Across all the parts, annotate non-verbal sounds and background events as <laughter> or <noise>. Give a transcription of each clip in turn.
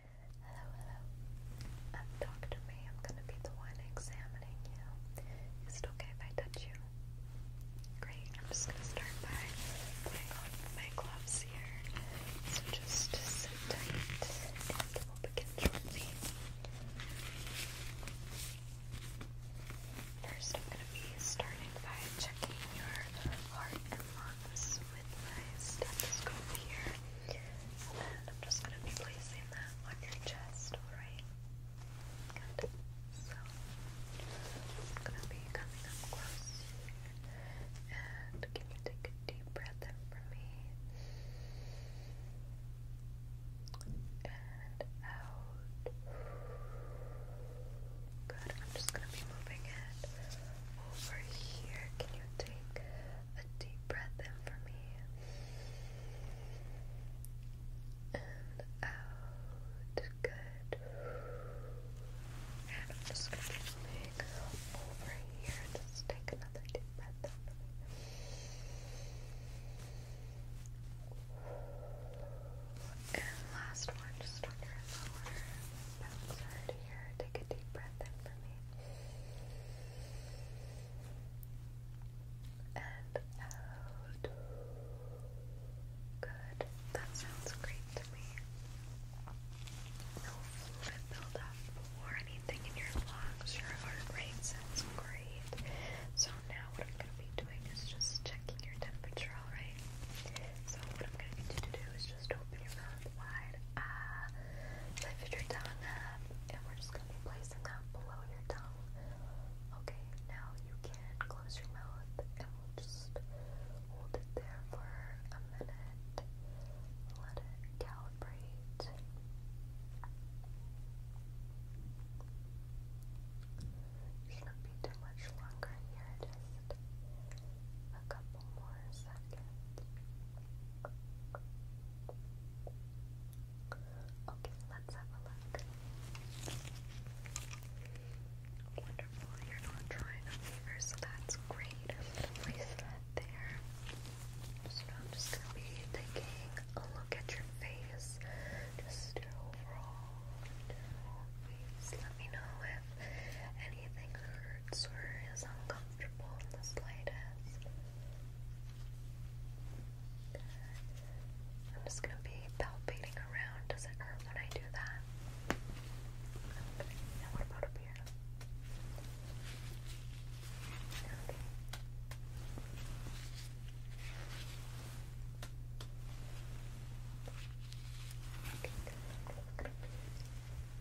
Hello, hello. I'm Dr. May. I'm going to be the one examining you. Is it okay if I touch you? Great. I'm just going to start by putting on my gloves here. So just sit tight and we'll begin shortly. First, I'm going to be starting by checking your heart and lungs with my stethoscope here. And I'm just going to be placing that on your chest, alright? So, I'm going to be coming up close And can you take a deep breath in for me? And out. Good. I'm just going to be moving it over here. Can you take a deep breath in for me? And out. Good. And I'm just going to make over here. Just take another deep breath in for me. And last one, just on your lower Take a deep breath in for me. And out. Good. That sounds great to me. No fluid buildup or anything in your lungs. Your heart rate sounds great. So now what I'm going to be doing is just checking your temperature, alright? So what I'm going to need you to do is just open your mouth wide. Ah, lift your tongue up, and we're just gonna be placing that below your tongue. Okay, now you can close your mouth, and we'll just hold it there for a minute. Let it calibrate. Shouldn't be too much longer here, just a couple couple Okay, let's have a look. Wonderful, you're not trying a fever, so that's great. I'm there. I'm just gonna be taking a look at your face, just your overall Let me know if anything hurts or is uncomfortable in the slightest. I'm just gonna be palpating around. Does it hurt when I do that? Okay, what about up here?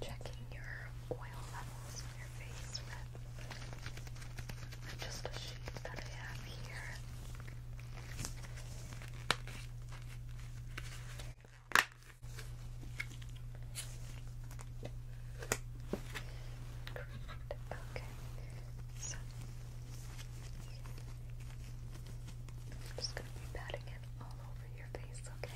checking your oil levels in your face with just a sheet that I have here. Okay. just going to be patting it all over your okay? Okay,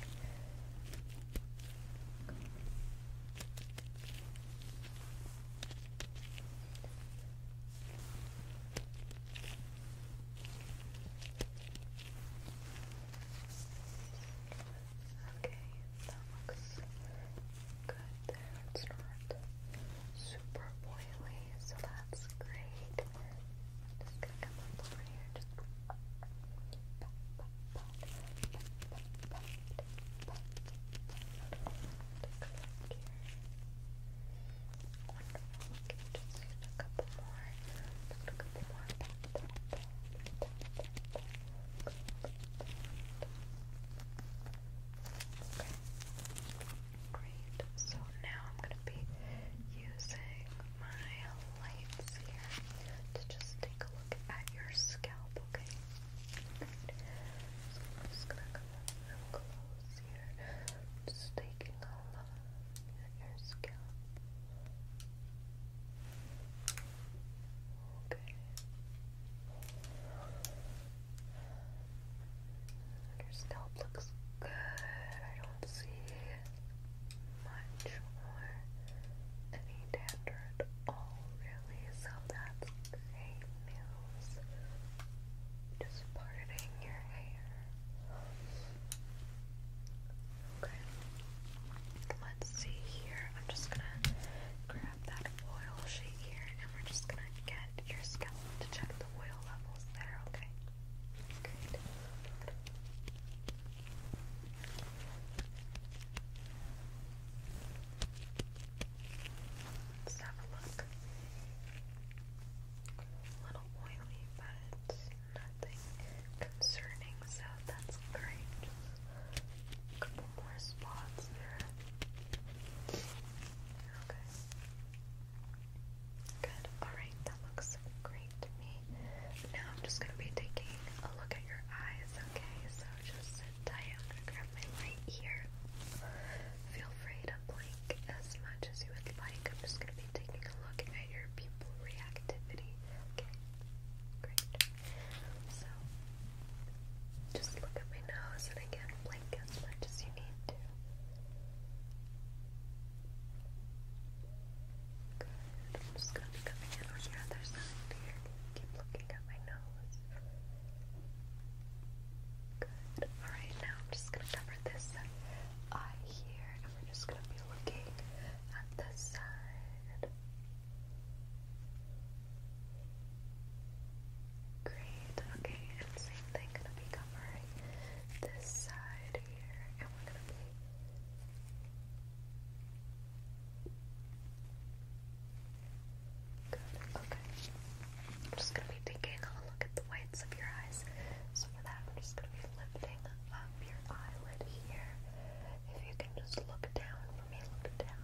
that looks good It's not super oily, so that's great more. i Wonderful. Okay, just a couple more. Just a couple more. Okay. Great. So now I'm gonna be using my lights here to just take a look at your scalp, okay? I'm just gonna come up close here. Just taking a look at your scalp. Okay. Your scalp looks good. I don't see much or any dander at all, really. So that's great news. Just parting your hair. Okay. Let's see here. I'm just gonna grab that oil sheet here and we're just gonna get your scalp to check the oil levels there, okay? Great. Let's have a look. A little oily, but nothing concerning, so that's great. a couple more spots there. Okay. Good. Alright, that looks great to me. Now I'm just going to be taking a look at your eyes, okay? So just sit tight. I'm going to grab my light here. Feel free to blink as much as you would like. I'm just going to be taking a look at your pupil reactivity, okay? Great. So just look at my nose and again blink as much as you need to. I'm just going to be coming in on your other side here. Keep looking at my nose. Good. Alright, now I'm just going to cover this eye here, and we're just going to be looking at this side. Great. Okay, and same thing, gonna be covering this side to here, and we're gonna be good. Okay. I'm just gonna be taking a look at the whites of your eyes. So for that, I'm just gonna be lifting up your eyelid here. If you can just look down for me, look down.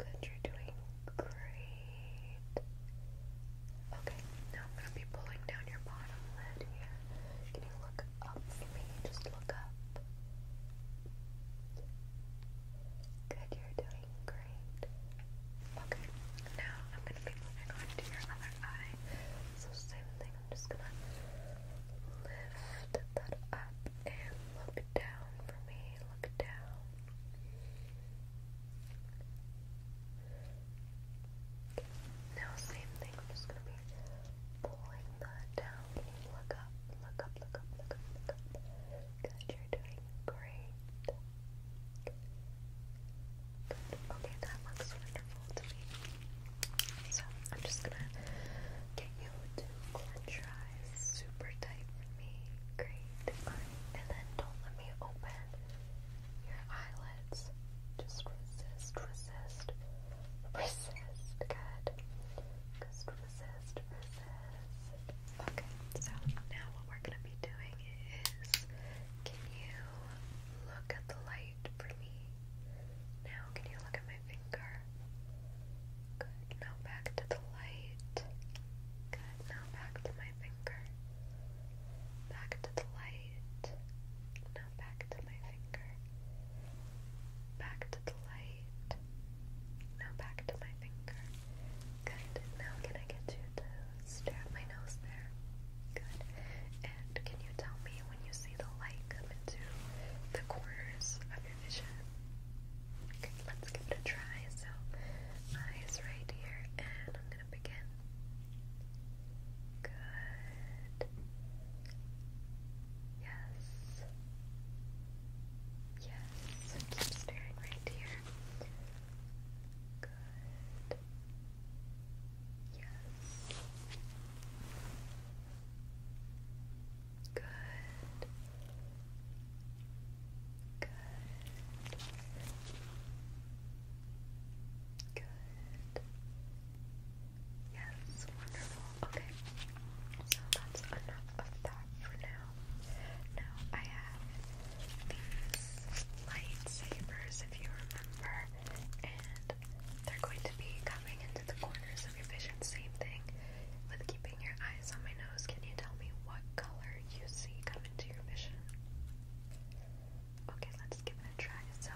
Good, you're doing great. Okay, now I'm going to be pulling down your bottom lid here. Can you look up for me? Just look up. Good, you're doing great. Okay, now I'm going to be moving on to your other eye. So, same thing, I'm just going to lift that up and look down for me. Look down. Now, same thing. I'm just gonna be pulling that down. Look up, look up, look up, look up, Good, you're doing great. Good. Okay, that looks wonderful to me. So I'm just gonna get you to clench your eyes super tight for me. Great. and then don't let me open your eyelids. Just resist, resist, resist. Good. Just resist, resist. Okay, so now what we're going to be doing is can you look at the light for me? Now, can you look at my finger? Good. Now back to the light. Good. Now back to my finger. Back to the light. Now back to my finger. Back to the light. Now back to my finger. Good. Now can I get you to stare at my nose there? Good. And can you tell me when you see the light come into the corners of your vision? let's give it a try. So, eyes right here, and I'm Good. Yes. Yes. Keep staring right here. Good. Yes. Good. Good. Good. Yes, wonderful. Okay. So that's enough of that for now. Now I have these lightsabers, if you remember, and they're going to be coming into the corners of your vision. Same thing with keeping your eyes on my nose. Can you tell me what color you see come into your vision? Okay. Okay, let's give it a try. So,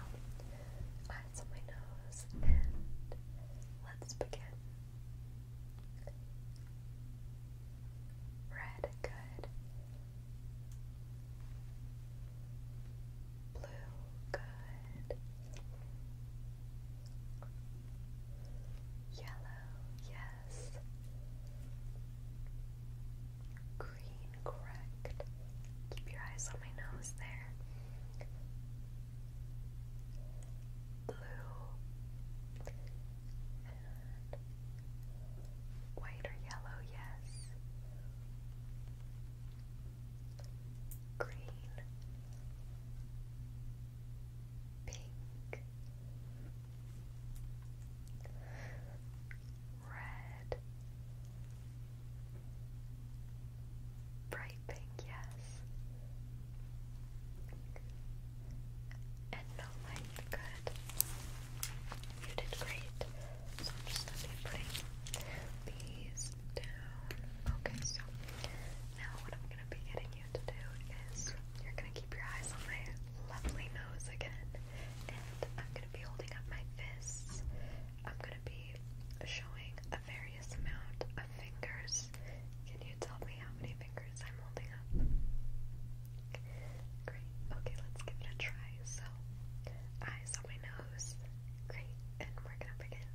eyes on my nose, and let's begin. Red, good. Blue, good. Yellow, yes. Yes. Green, correct. Keep your eyes on my nose there. Blue white or yellow, yes. Green, pink, Red. Bright pink, yes. And no light, good. You did great. So I'm just gonna be putting these down. Okay, so now what I'm gonna be getting you to do is you're gonna keep your eyes on my lovely nose again. And I'm going to be holding up my fists. I'm going to be showing a various amount of fingers. Can you tell me how many fingers I'm holding up? Great. Okay, let's give it a try. So, eyes on my nose. Great. And we're going to begin.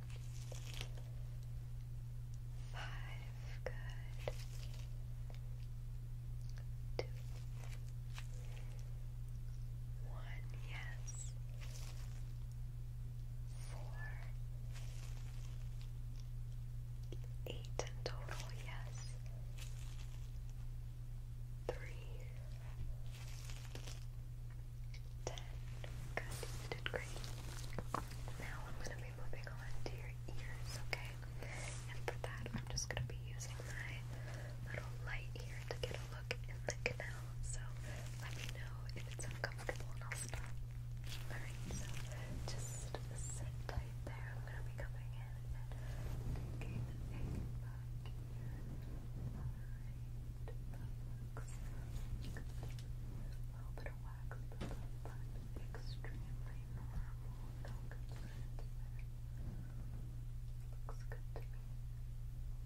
Five. Good. Two. One, yes. Four. Eight in total, yes. Three. Ten. Good, you did great. Now I'm going to be moving on to your ears, okay? And for that, I'm just going to be using my little light here to get a look in the canal. So let me know if it's uncomfortable and i Alright, so just sit tight there. I'm going to be coming in and taking a look A little bit of wax, but extremely normal. Looks good to me.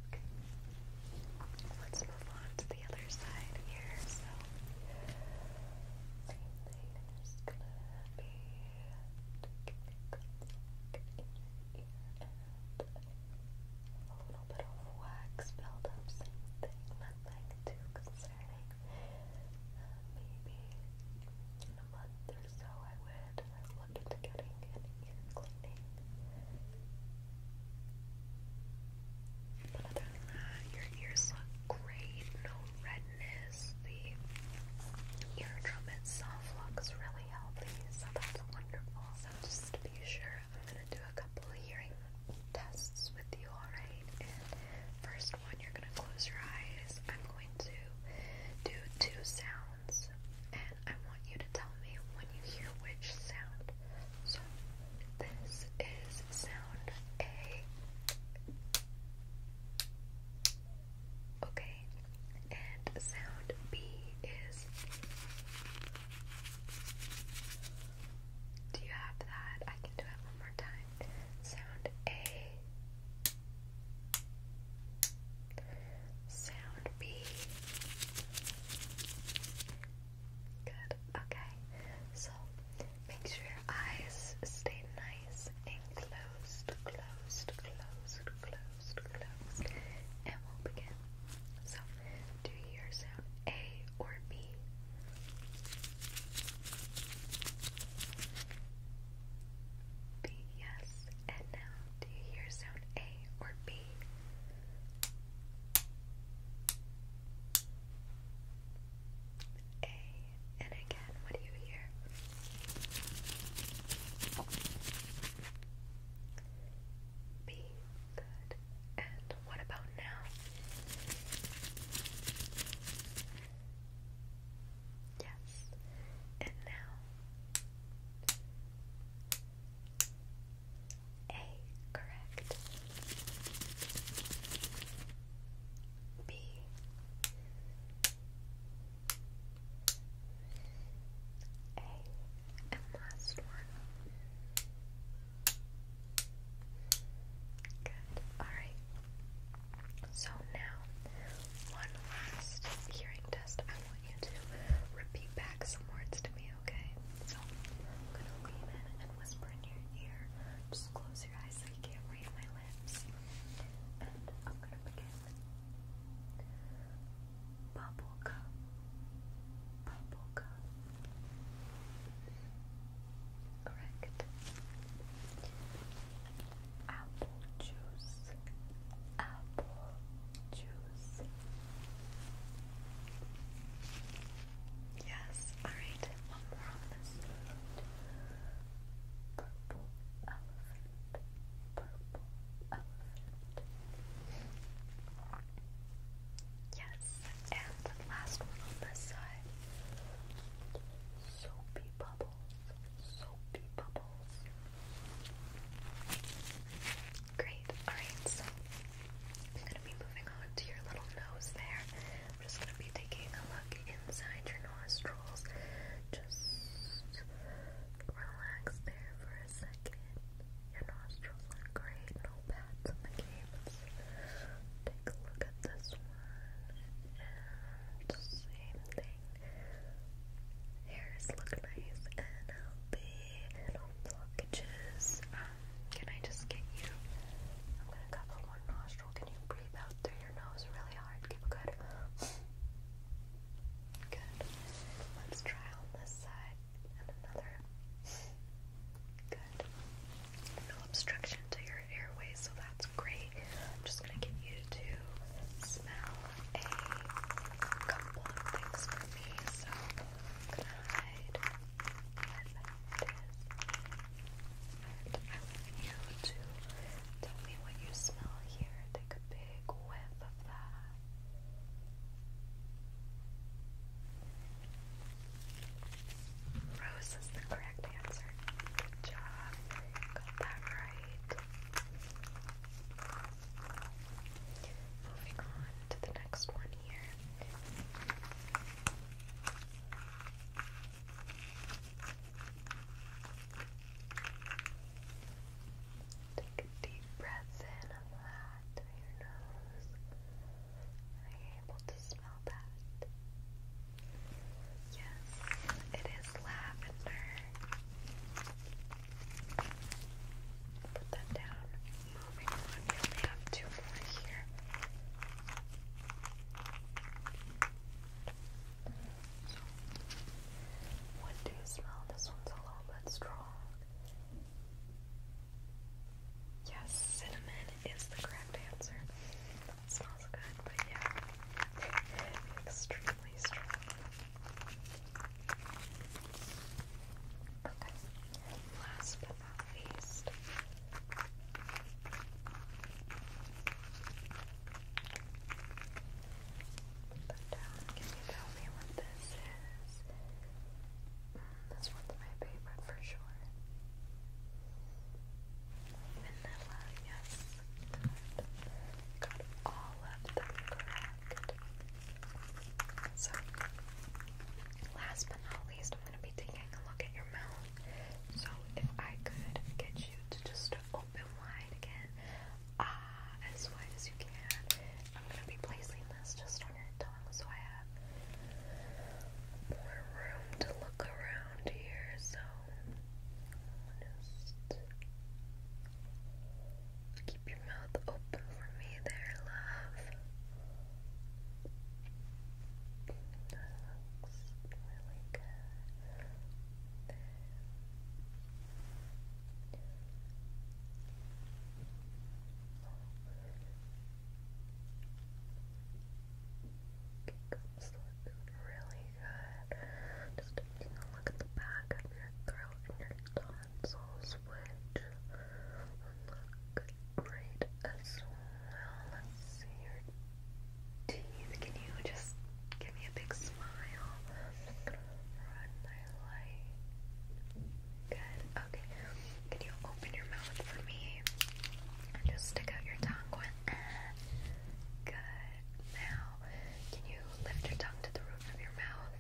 Okay. Let's move on to the other side here. same thing. i gonna be taking a look in your ear and a little bit of wax buildup. Same thing. Nothing too starting maybe in a month or so I would look into getting an ear cleaning. But other than that, your ears look great, no redness, the eardrum itself looks really healthy, so that's wonderful. So just be sure, I'm going to do a couple of hearing tests with you, alright? first one, you're going to close your eyes. I'm going to do two sounds, and I want you to tell me when you hear which sound. So, this is sound A. Okay, and sound B is. Do you have that? I can do it one more time. Sound A. Sound B. Good. Okay. So make sure your eyes stay nice and closed, closed, closed, closed, closed. And we'll begin. So do you sound A or B? B, yes. And now, do you hear sound A or B? A. And again, what do you hear? B. Good. And what about now? Yes. And now A correct. B A and last one. Good. Alright. So now, one last hearing test. I want you to repeat back some words to me, okay? So, I'm gonna lean in and whisper in your ear. Just close your eyes so you can't read my lips. And I'm gonna begin. Bubblegum. Bubblegum. Bubblegum correct. Apple juice, apple juice. Yes, alright, one more on this. Purple elephant, purple elephant. Yes, and the last one on this side. Soapy bubbles. Soapy bubbles. Great. Alright, so I'm going to be moving on to your little nose there. I'm just going to be taking a look inside your nostrils. Just relax there for a second. Your nostrils great. Take a look at this one same thing. Hairs look nice and healthy. No blockages. Um, can I just get you? I'm gonna cover one nostril. Can you breathe out through your nose really hard? Keep good. Good. Let's try on this side and another. Good. No obstruction to your airways, so that's great. I'm just gonna get you to smell a couple of things for me. So I'm And I want you to tell me what you smell here. Take a big whiff of that. Rose is the correct answer. Good job. Got that right. Moving on to the next one here. Take a deep breath in and out through your nose. able to smell that? Yes, it is lavender. Put that down. Moving on, we have two more here. what do you smell? This one's a little bit strong. Yes, cinnamon is the correct answer. smells good, but yeah, <laughs> extremely strong. Okay, last but not least. Put down, can you tell me what this is? This one's my favorite for sure. Vanilla, yes. Got all of them correct. So, last but not least, I'm going to be taking a look at your mouth. So, if I could get you to just open wide again, ah, as wide as you can, I'm going to be placing this just on your tongue long, so I have more room to look around here. So just keep your mouth open for me, there, love. That looks really good. Cups look really good. Just taking a look at the back of your throat and your tonsils, which look great as well. Let's see your teeth. Can you just give me a big smile? Run my light Good. Okay. Can you open your mouth for me? And just stick out your tongue. Good. Now, can you lift your tongue to the roof of your mouth?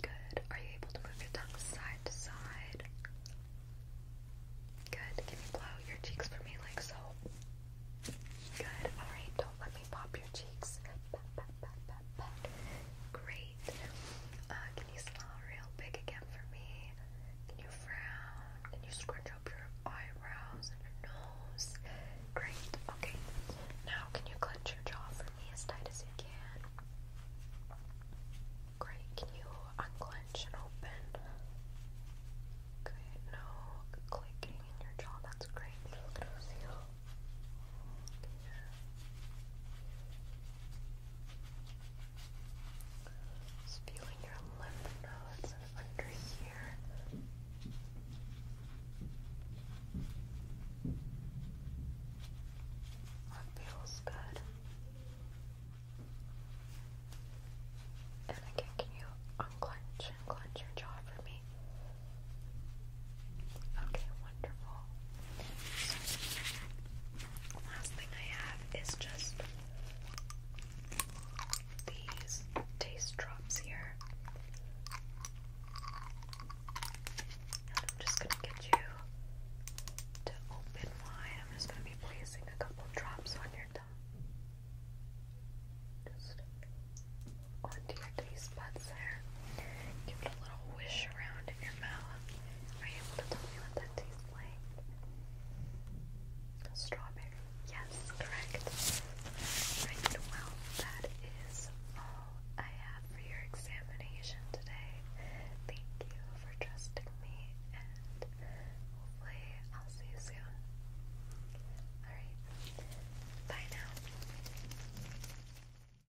Good. Are you able to move your tongue side to side? Good. Can you blow your cheeks for me like so? Good. Alright, don't let me pop your cheeks. Great. Uh, can you smile real big again for me? Can you frown? Can you scrunch up your eyebrows and your nose? Great. Okay. Now, can you clench your jaw for me as tight as you can? Great. Can you unclench and open? Good. No clicking in your jaw. That's great. Just feeling your lymph nodes under here. That feels good. And again, can you unclench and clench your jaw for me? Okay, wonderful. last thing I have is just these taste drops here. And I'm just going to get you to open wide. I'm just going to be placing a couple drops on your tongue. Just onto your taste buds Give it a little wish around in your mouth. Are you able to tell me what that tastes like? Strawberry. Yes, correct. Right, well, that is all I have for your examination today. Thank you for trusting me, and hopefully, I'll see you soon. Alright, bye now.